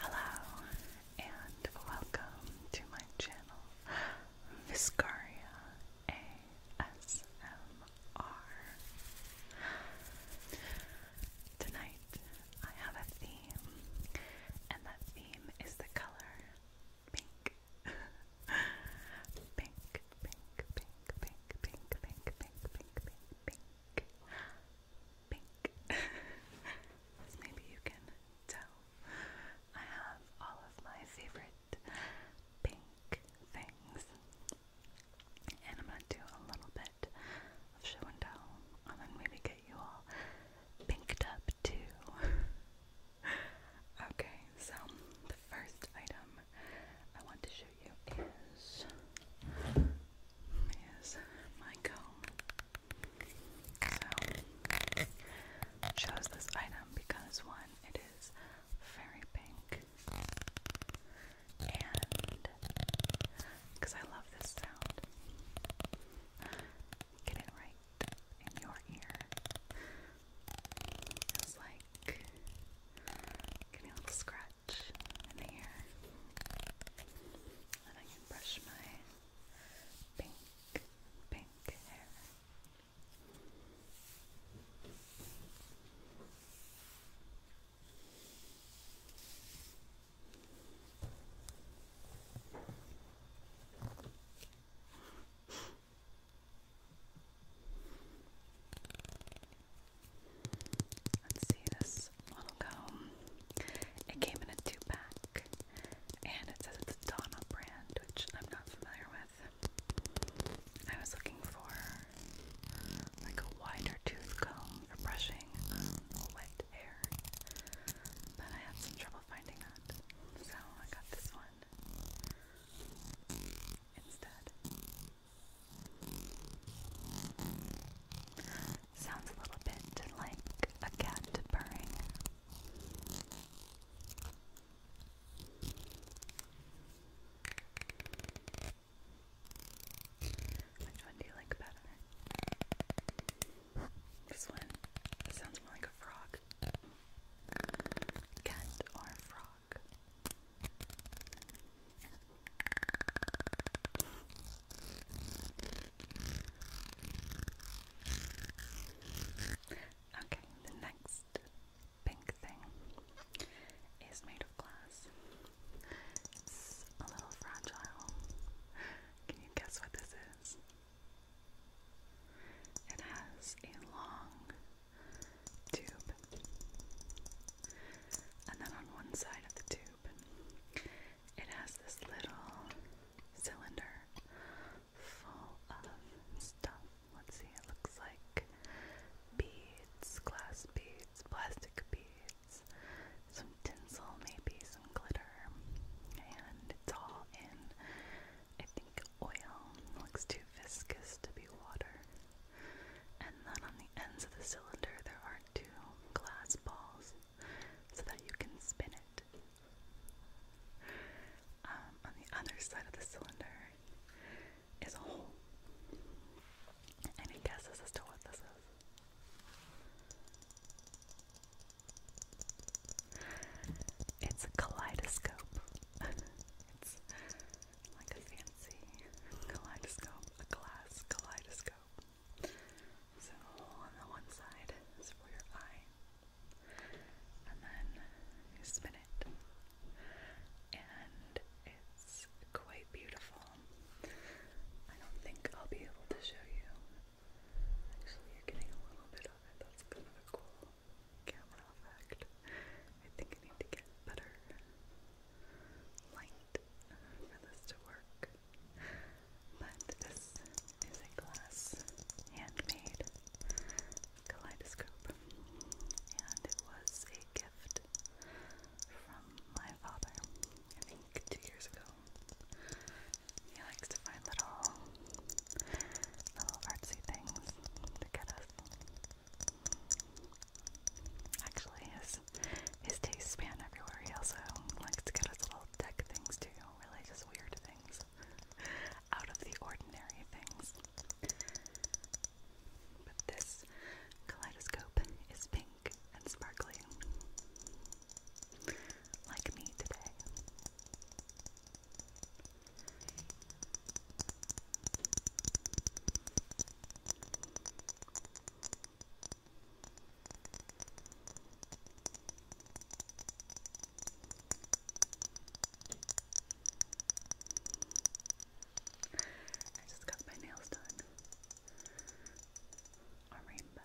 Hello and welcome to my channel Viscaria ASMR. Tonight I have a theme, and that theme is the color pink. pink, pink, pink, pink, pink, pink, pink, pink, pink, pink pink, as maybe you can tell. I have all of my favorite pink things, and I'm gonna do a little bit of show and tell, and then maybe get you all pinked up too. okay, so the first item I want to show you is is my comb. So chose this item because one, it is very pink, and because I love this sound. Get it right in your ear. It's like getting a little scratch touch in And I can brush my pink, pink hair. Let's see this little comb. It came in a two pack and it says it's a Donna brand, which I'm not familiar with. I was looking for like a wider tooth comb for brushing light hair, but I had some trouble finding that, so I got this one instead. Sounds a little bit like a cat purring. Which one do you like better? This one sounds more like a frog. Cat or frog? Okay, the next pink thing is made of glass. a little fragile. Can you guess what this is? It has a long tube, and then on one side of the tube it has this little cylinder full of stuff. Let's see, it looks like beads, glass beads, plastic beads, some tinsel, maybe some glitter, and it's all in, I think, oil. looks too viscous to be water. And then on the ends of the cylinder, there are two glass balls so that you can spin it. Um, on the other side of the cylinder is a hole. Any guesses as to what this is? It's a kaleidoscope. it's like a fancy kaleidoscope, a glass kaleidoscope. So on the one side is for your eye, and then you spin it, and it's quite beautiful. I don't think I'll be able to show you. Actually, you're getting a little bit of it. That's kind of a cool camera effect. I think I need to get better light for this to work. But this is a glass handmade kaleidoscope, and it was a gift from my father, I think two years ago. He likes to find little, little artsy things to get us. Actually, his his taste span everywhere. He also likes to get us little tech things too, really just weird things. Out of the ordinary things. But this kaleidoscope is pink and sparkly. Like me today. I just got my nails done. A rainbow.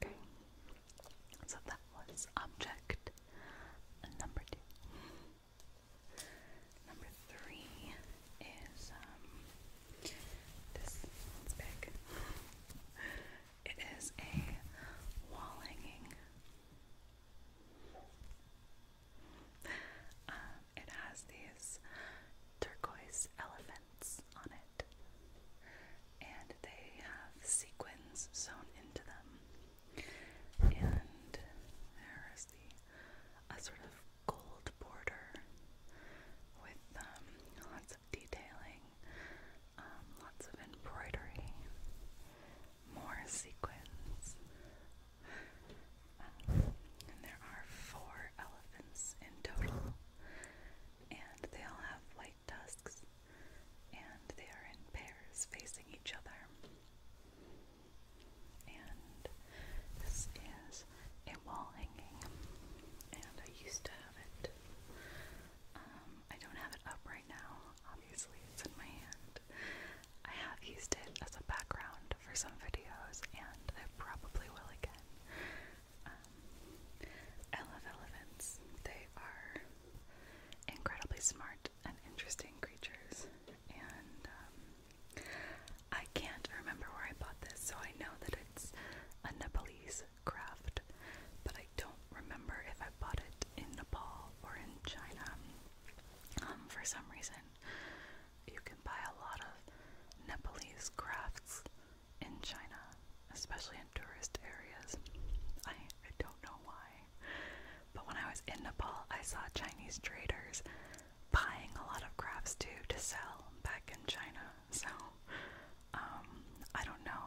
Okay, so that was object number two. Number three is um, this one's big. It is a wall hanging. Um, it has these turquoise elephants on it, and they have sequins sewn into them. And there is a sort of gold border with um, lots of detailing, um, lots of embroidery, more sequins. Um, and there are four elephants in total, and they all have white tusks, and they are in pairs facing each other. And this is a wall hanging, and I used to have it. Um, I don't have it up right now, obviously, it's in my hand. I have used it as a background for some videos, and I probably will again. Um, I love elephants. They are incredibly smart and interesting creatures. And um, I can't remember where I bought this, so I know that it's a Nepalese craft, but I don't remember if I bought it in Nepal or in China. Um, for some reason, you can buy a lot of Nepalese crafts in China, especially in tourist areas. I, I don't know why, but when I was in Nepal, I saw Chinese traders buying a lot of crafts too to sell back in China. So, um, I don't know.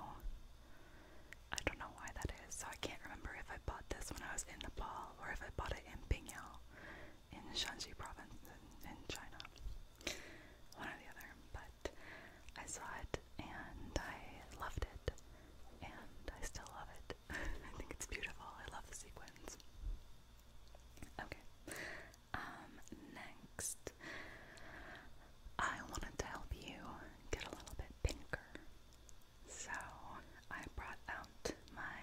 I don't know why that is. So I can't remember if I bought this when I was in Nepal or if I bought it in Pingyao in Shanxi province in China one or the other, but I saw it and I loved it, and I still love it. I think it's beautiful. I love the sequins. Okay, um, next, I wanted to help you get a little bit pinker, so I brought out my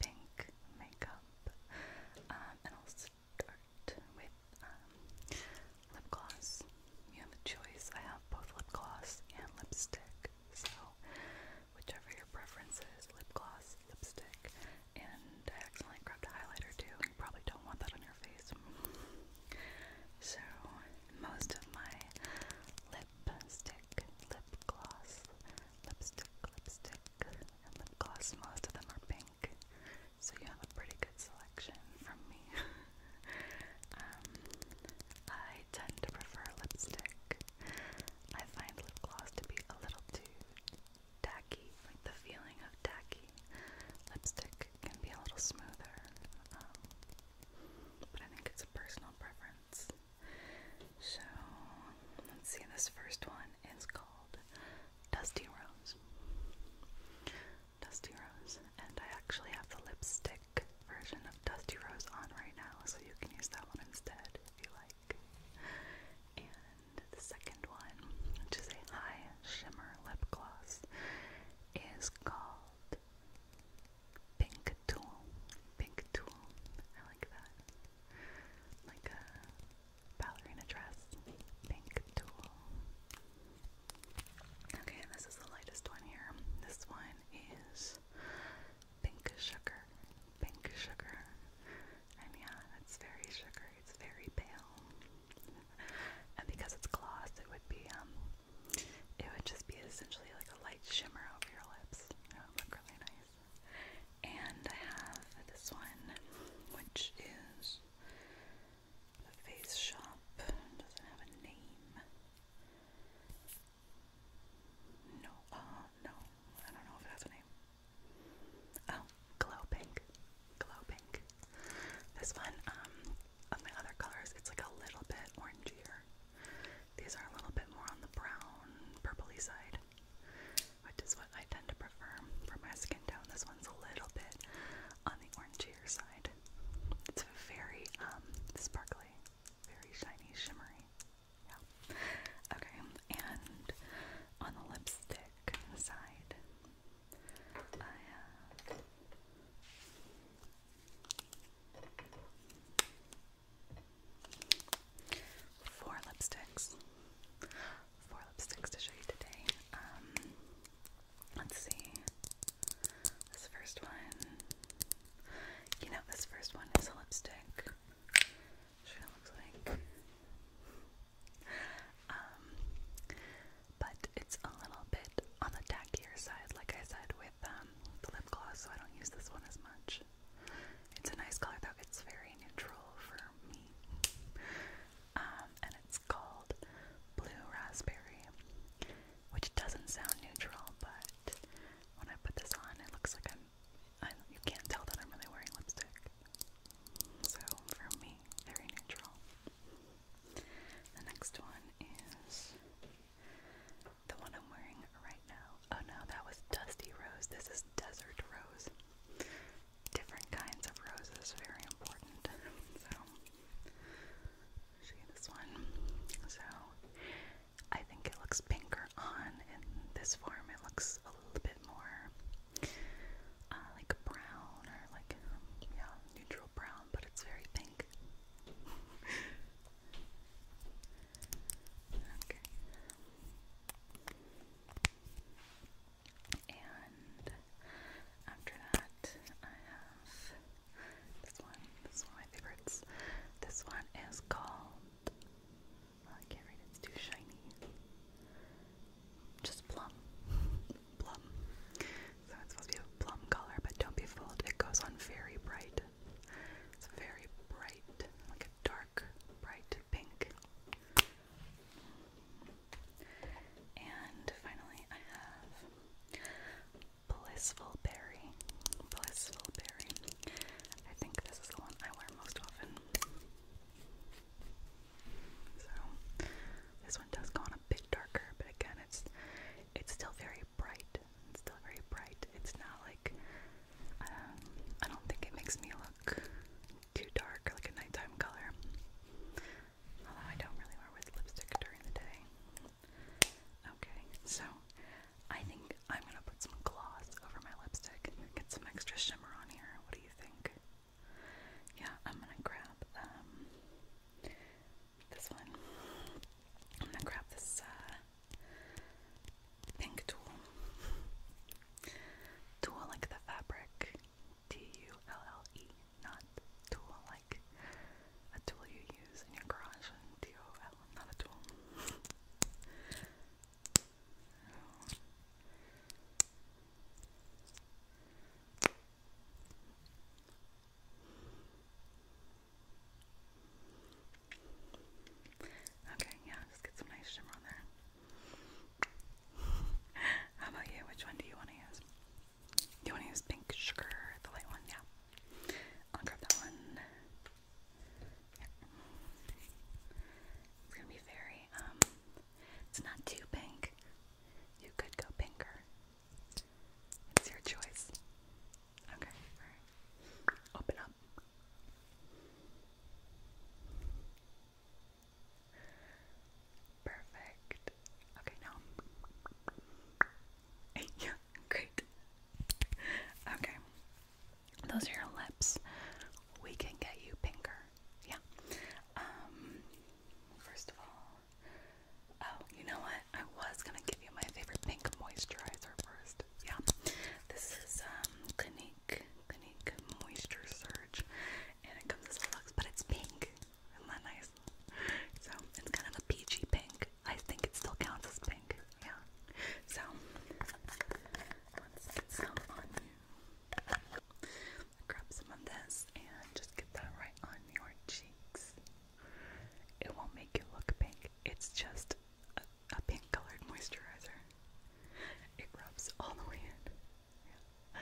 pink makeup, um, and I'll start start with um, lip gloss. You have a choice. I have both lip gloss and lipstick, so whichever your preference is, lip gloss, lipstick, and I accidentally grabbed a highlighter too. You probably don't want that on your face. So most of my lipstick, lip gloss, lipstick, lipstick, and lip gloss, most of them are pink. So you have a pretty good selection from me. Um, I tend to prefer lipstick. I find lip gloss to be a little too tacky, the feeling of tacky. Lipstick can be a little smoother, um, but I think it's a personal preference. So, let's see, this first one is called Dusty Rose. Dusty Rose, and I actually have the lipstick version of Dusty Rose on right now, so you can use that one instead if you like. And the second one, which is a high shimmer lip gloss, is called Pink Tool. Pink Tool. I like that. Like a ballerina dress. Pink Tool. Okay, this is the lightest one here. This one is pink sugar. Pink sugar. And yeah, it's very sugar. It's very pale. and because it's gloss, it would be um it would just be essentially like a light shimmer over your lips. It would look really nice. And I have this one, which is the face shop doesn't have a name. No, uh, no, I don't know if it has a name. Oh, glow pink, glow pink. This one, um, of my other colors, it's like a little bit orangier. These are a little bit more on the brown, purply side, which is what I tend to prefer for my skin tone. This one's a little bit on the orangier side nude. It's very um, sparkly, very shiny, shimmery. Yeah. Okay, and on the lipstick side, I have four lipsticks. Four lipsticks to show you today. Um, Let's see. This first one. You know, this first one is a lipstick. Um, but it's a little bit on the tackier side, like I said, with um, the lip gloss, so I don't use this one as much. It's a nice color though, it's very neutral for me. Um, and it's called Blue Raspberry, which doesn't sound neutral, but when I put this on, it looks like I'm, I'm you can't tell that I'm really wearing lipstick. So for me, very neutral. The next one is the one I'm wearing right now. Oh no, that was Dusty Rose. This is Desert Rose. Different kinds of roses, very important. So See this one. So I think it looks pinker on. In this form, it looks a little bit more uh, like brown or like yeah, neutral brown, but it's very pink. okay. And after that, I have this one. This one my favorites. This one is called. I can't read it, it's too shiny. Just plum. plum. So it's supposed to be a plum color, but don't be fooled, it goes on very bright. It's very bright, like a dark, bright pink. And finally, I have Blissful Berry. Blissful Berry. I think this is the one I wear most often. So this one does go on a bit darker, but again, it's it's still very bright. It's still very bright. It's not like um, I don't think it makes me look too dark, like a nighttime color. I don't really wear with lipstick during the day. Okay, so I think I'm gonna put some gloss over my lipstick get some extra shimmer on here. What do you think? Yeah, I'm gonna grab um, this one. I'm gonna grab this uh, pink tool. Tool like the fabric T-U-L-L-E, not tool like a tool you use in your garage T-O-L, not a tool. Okay, yeah, just get some nice shimmer on there. How about you? Which one do you want to use? You want to use pink sugar, the light one? Yeah. I'll grab that one. Yeah. It's gonna be very, um, it's not too pink. You could go pinker. It's your choice. Okay, Open up. Perfect. Okay, now. yeah, great. Okay. Those are your lips. We can get you pinker. Yeah. Um first of all, oh, you know what? I was gonna give you my favorite pink moisturizer first. Yeah. This is um Clinique Clinique Moisture Surge and it comes as a luxe, but it's pink not nice? So it's kind of a peachy pink. I think it still counts as pink. Yeah. So let's get some on you. Grab some of this and just get that right on your cheeks. It won't make you look pink. It's just a, pink colored moisturizer. It rubs all the way in.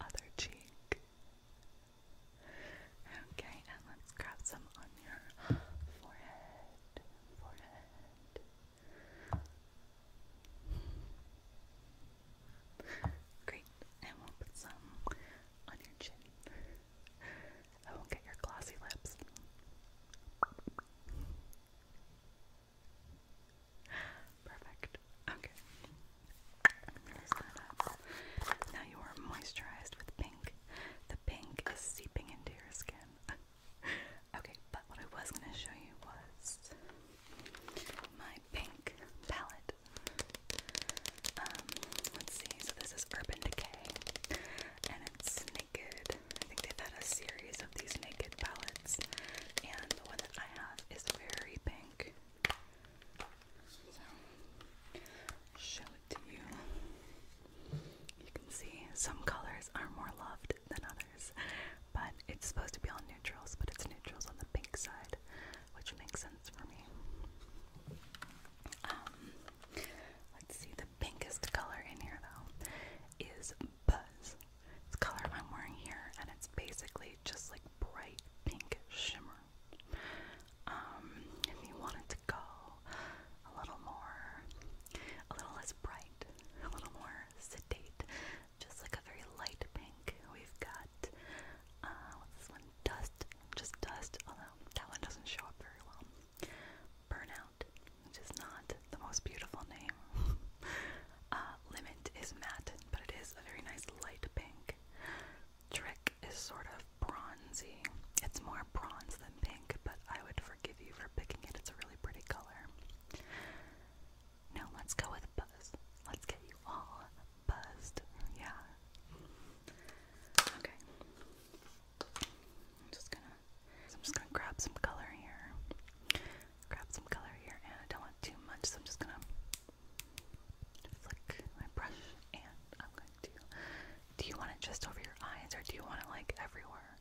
Other cheek. Okay, and let's grab some on your forehead. Great, and we'll put some on your chin. I will get your glossy lips. Perfect. Okay. Now you are moisturized with pink. The pink is seeping into your skin. okay, but what I was gonna show you was my pink palette. Um, let's see, so this is Urban Decay and it's naked. I think they've had a series of these naked palettes and the one that I have is very pink. So, show it to you. You can see some colors are more loved than others, but it's supposed to be all neutrals, but it's neutrals on the pink side, which makes sense for me. Um, let's see, the pinkest color in here though is Buzz. It's color I'm wearing here, and it's basically just like bright pink shimmer. Um, if you wanted to go a little more, a little less bright, a little more sedate, just like a very light pink, we've got uh, this one? Dust, just dust, although that one doesn't show up very well. Burnout, which is not the most beautiful name. Uh, Limit is matte, but it is a very nice light pink. Trick is sort of bronzy. It's more bronze than pink, but I would forgive you for picking it. It's a really pretty color. Now let's go with Buzz. Let's get you all buzzed. Yeah. Okay. I'm just gonna I'm just gonna grab some color here. Grab some color here and I don't want too much, so I'm just gonna flick my brush and I'm going to do you want it just over your eyes or do you want it like everywhere?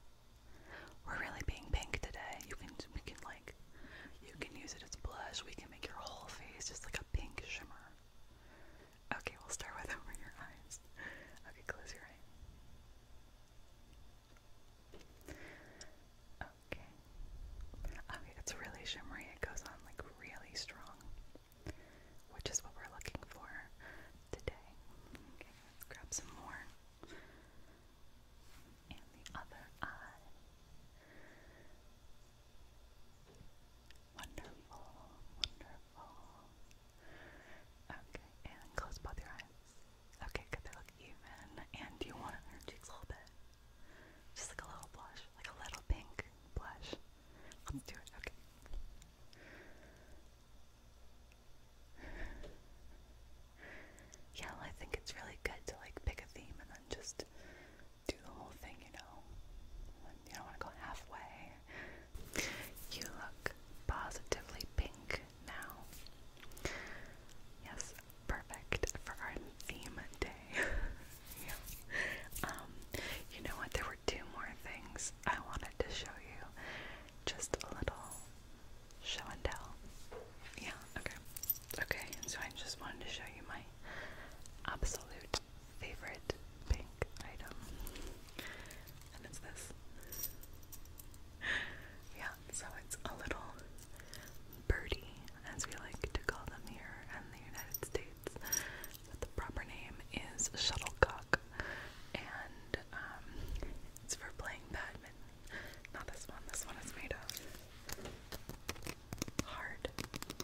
We're really being pink today. You can we can like you can use it as blush. We can make your whole face just like a pink shimmer. Okay, we'll start with over your eyes. Okay, close your eye. Okay. Okay, it's really shimmery. It goes on like really strong, which is what we're looking for today. Okay, let's grab some more. And the other eye. Wonderful, wonderful. Okay, and close both your eyes. Okay, good, they look even. And you want to her a little bit? Just like a little blush like a little pink blush. Let's do it. Okay. Yeah, I think it's really good to like pick a theme and then just do the whole thing, you know. You don't want to go halfway. You look positively pink now. Yes, perfect for our theme day. yeah. Um, you know what? There were two more things I wanted to show you. Just a little show and tell. Yeah, okay. Okay, so I just wanted to show you my absolute favorite pink item. And it's this. Yeah, so it's a little birdie, as we like to call them here in the United States. But the proper name is shuttlecock, and um, it's for playing badminton. Not this one. This one is made of hard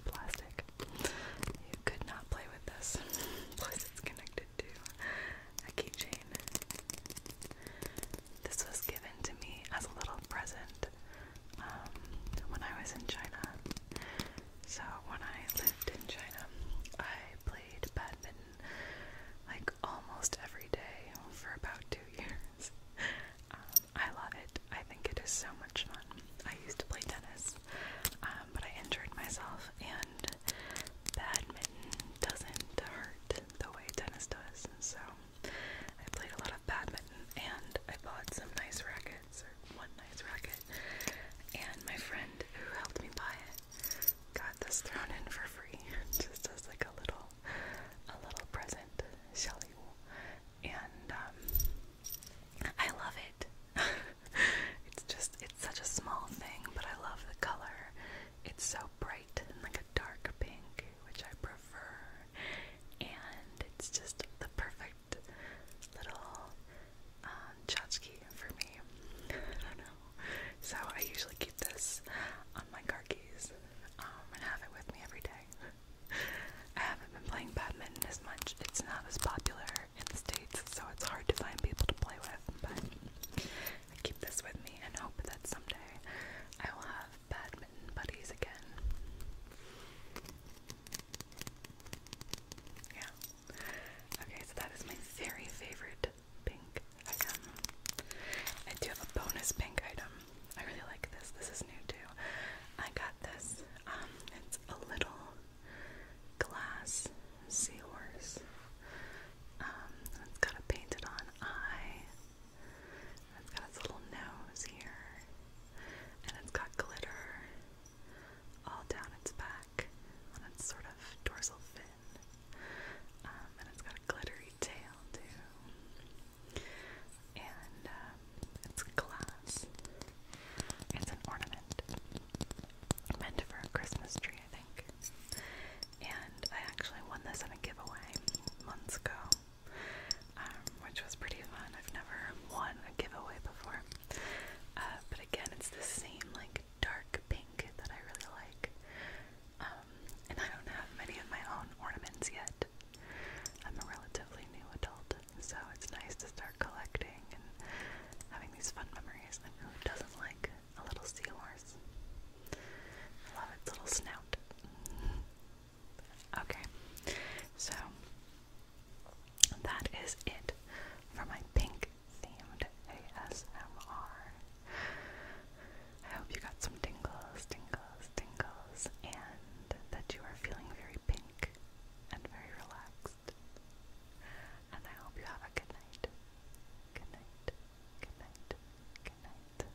plastic. You could not play with this. Plus, it's connected to a keychain. This was given to me as a little present um, when I was in China. So when I lived in China, I played badminton like almost every day for about two years. Um, I love it. I think it is so much fun. I used to play tennis, um, but I injured myself, and badminton doesn't hurt the way tennis does. So I played a lot of badminton and I bought some nice rackets, or one nice racket, and my friend who helped me buy it got this thrown in for free, just as like a little, a little present, shall And um, I love it. it's just, it's such a small thing, but I love the color. It's so bright and like a dark pink, which I prefer and it's just the perfect little um, for me. I So I usually keep this on my car keys um, and have it with me every day. I haven't been playing badminton as much. It's not as popular in the States, so it's hard to find people to play with, but I keep this with me and hope that someday I will have badminton been buddies again. Yeah. Okay, so that is my very favorite pink item. I do have a bonus pink item. I really like this. This is new too. I got this. Um, it's a little glass seahorse. Um, it's got a painted on eye. It's got its little nose here, and it's got glitter all down its back on its sort of dorsal fin, um, and it's got a glittery tail too. And um, it's glass. It's an ornament meant for a Christmas tree, I think. And I actually won this in a giveaway months ago. Um, which was pretty fun. I've never won a giveaway before. Uh, but again, it's the same like dark pink that I really like. Um, and I don't have many of my own ornaments yet. I'm a relatively new adult, so it's nice to start collecting and having these fun memories. And who doesn't like a little seahorse? I love its little snout. Okay, so that is it for my pink themed ASMR. I hope you got some tingles, tingles, tingles, and that you are feeling very pink and very relaxed. And I hope you have a good night. Good night. Good night. Good night.